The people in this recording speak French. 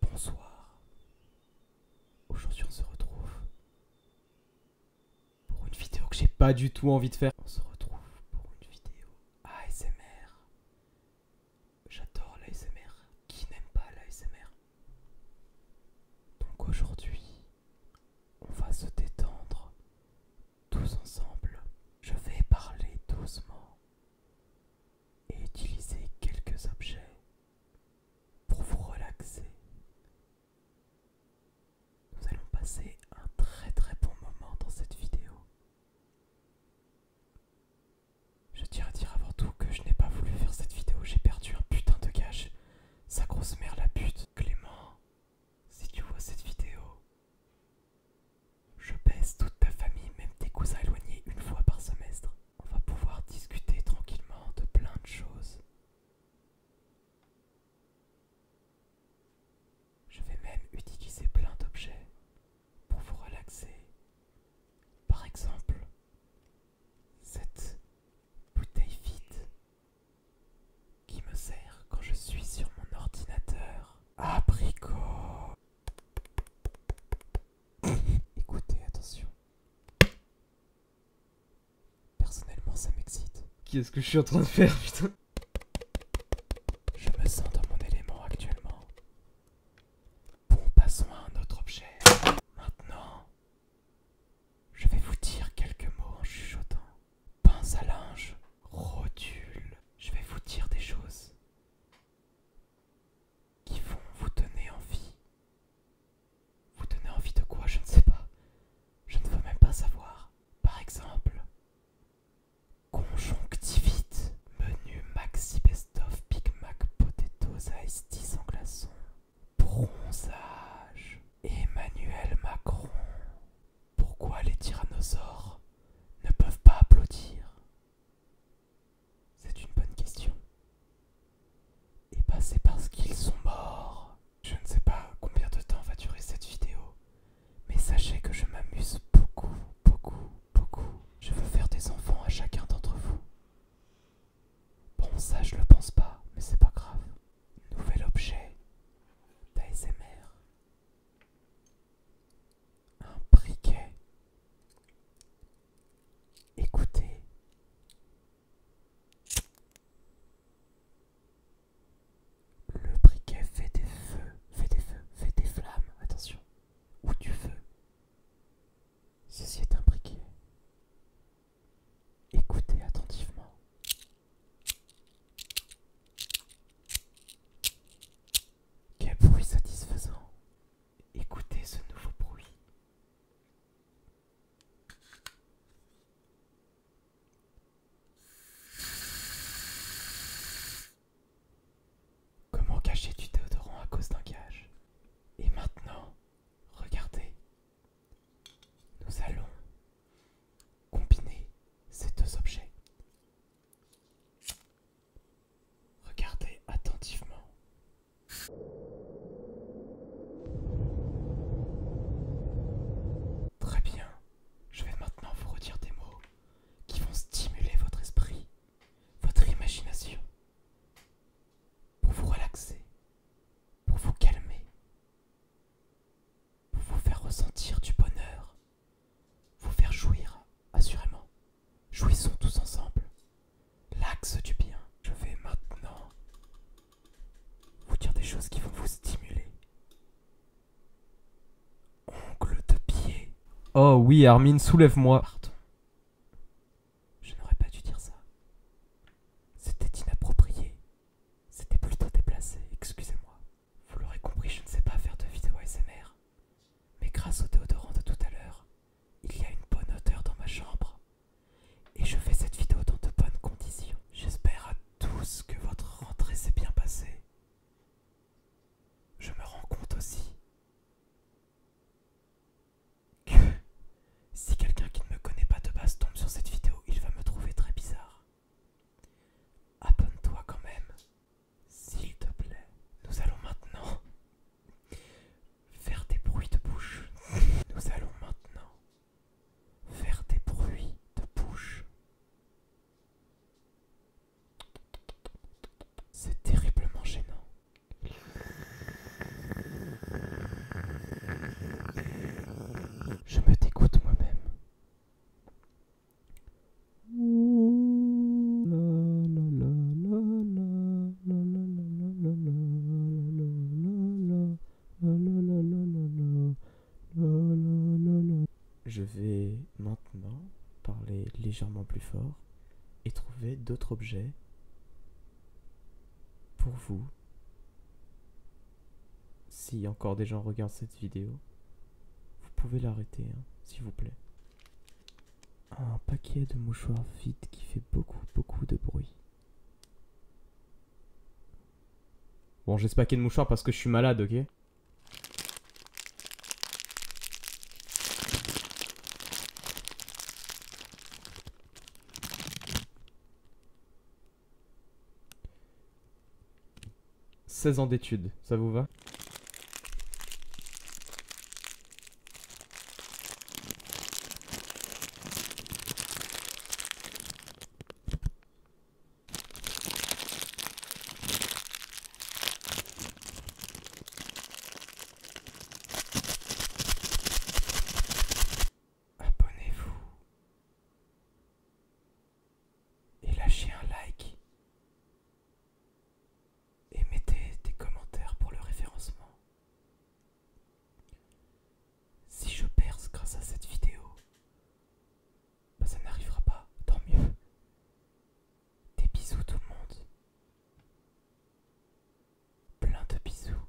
Bonsoir. Aujourd'hui on se retrouve pour une vidéo que j'ai pas du tout envie de faire. On se retrouve pour une vidéo ASMR. J'adore l'ASMR. Qui n'aime pas l'ASMR Donc aujourd'hui on va se détendre tous ensemble. Je vais parler doucement et utilisez quelques objets pour vous relaxer. Nous allons passer un très très bon moment dans cette vidéo. Je tiens à dire avant tout que je n'ai pas voulu faire cette vidéo, j'ai perdu un putain de cash. Sa grosse mère la pute. Clément, si tu vois cette vidéo, je baisse toute ta famille, même tes cousins éloignés, une fois par semestre. On va pouvoir discuter tranquillement de plein de choses. Je vais même utiliser plein d'objets pour vous relaxer. Par exemple, cette bouteille vide qui me sert quand je suis sur mon ordinateur. Abricot. Écoutez, attention. Personnellement, ça m'excite. Qu'est-ce que je suis en train de faire, putain Je me sens dans mon élément actuellement. Bon, passons à un autre objet. Maintenant, je vais vous dire quelques mots en chuchotant. Pince à linge. Rodule. Je vais vous dire des choses qui vont vous donner envie. Vous donner envie de quoi Je ne sais pas. Je ne veux même pas savoir. Par exemple, conjonctivite, menu maxi best-of, Big Mac, potatoes, ice tea sans glaçon, bronzage, Emmanuel Macron. Pourquoi les tyrannosaures ne peuvent pas applaudir C'est une bonne question. Et eh bah ben, c'est parce qu'ils sont morts. Je ne sais pas combien de temps va durer cette vidéo, mais sachez que je m'amuse beaucoup, beaucoup, beaucoup. Je veux faire des enfants à chacun d'entre vous. Bon ça je le pense pas, mais c'est pas grave. Nouvel objet d'ASMR. Un briquet. Écoutez. Le briquet fait des feux, fait des feux, fait des flammes, attention, ou du feu. Ceci est un briquet. Écoutez attentivement. Quel bruit satisfaisant. Écoutez ce nouveau bruit. Comment cacher du déodorant à cause d'un gage Et maintenant, regardez, nous allons combiner ces deux objets. Regardez attentivement. Très bien, je vais maintenant vous redire des mots qui vont stimuler votre esprit, votre imagination pour vous relaxer, pour vous calmer, pour vous faire ressentir du bonheur, vous faire jouir, assurément. Jouissons tous ensemble. L'axe du bien. Je vais maintenant vous dire des choses qui vont vous stimuler. Ongle de pied. Oh oui, Armin, soulève-moi. Je n'aurais pas dû dire ça. C'était inapproprié. C'était plutôt déplacé, excusez-moi. Vous l'aurez compris, je ne sais pas faire de vidéo ASMR. Mais grâce au déodorant de tout à l'heure, il y a une bonne odeur dans ma chambre. Et je fais cette vidéo dans de bonnes conditions. J'espère à tous que votre rentrée s'est bien passée. Je me rends compte aussi si quelqu'un qui ne me connaît pas de base tombe sur cette vidéo, il va me trouver très bizarre. Abonne-toi quand même, s'il te plaît. Nous allons maintenant faire des bruits de bouche. Nous allons maintenant faire des bruits de bouche. C'est terriblement gênant. Je me dégoûte moi-même. Je vais maintenant parler légèrement plus fort et trouver d'autres objets pour vous. Si encore des gens regardent cette vidéo, vous pouvez l'arrêter, hein, s'il vous plaît. Un paquet de mouchoirs vides qui fait beaucoup, beaucoup de bruit. Bon, j'ai ce paquet de mouchoirs parce que je suis malade, ok 16 ans d'études, ça vous va Abonnez-vous et lâchez un like et mettez des commentaires pour le référencement. Si je perce grâce à cette vidéo, bah, ça n'arrivera pas, tant mieux. Des bisous tout le monde. Plein de bisous.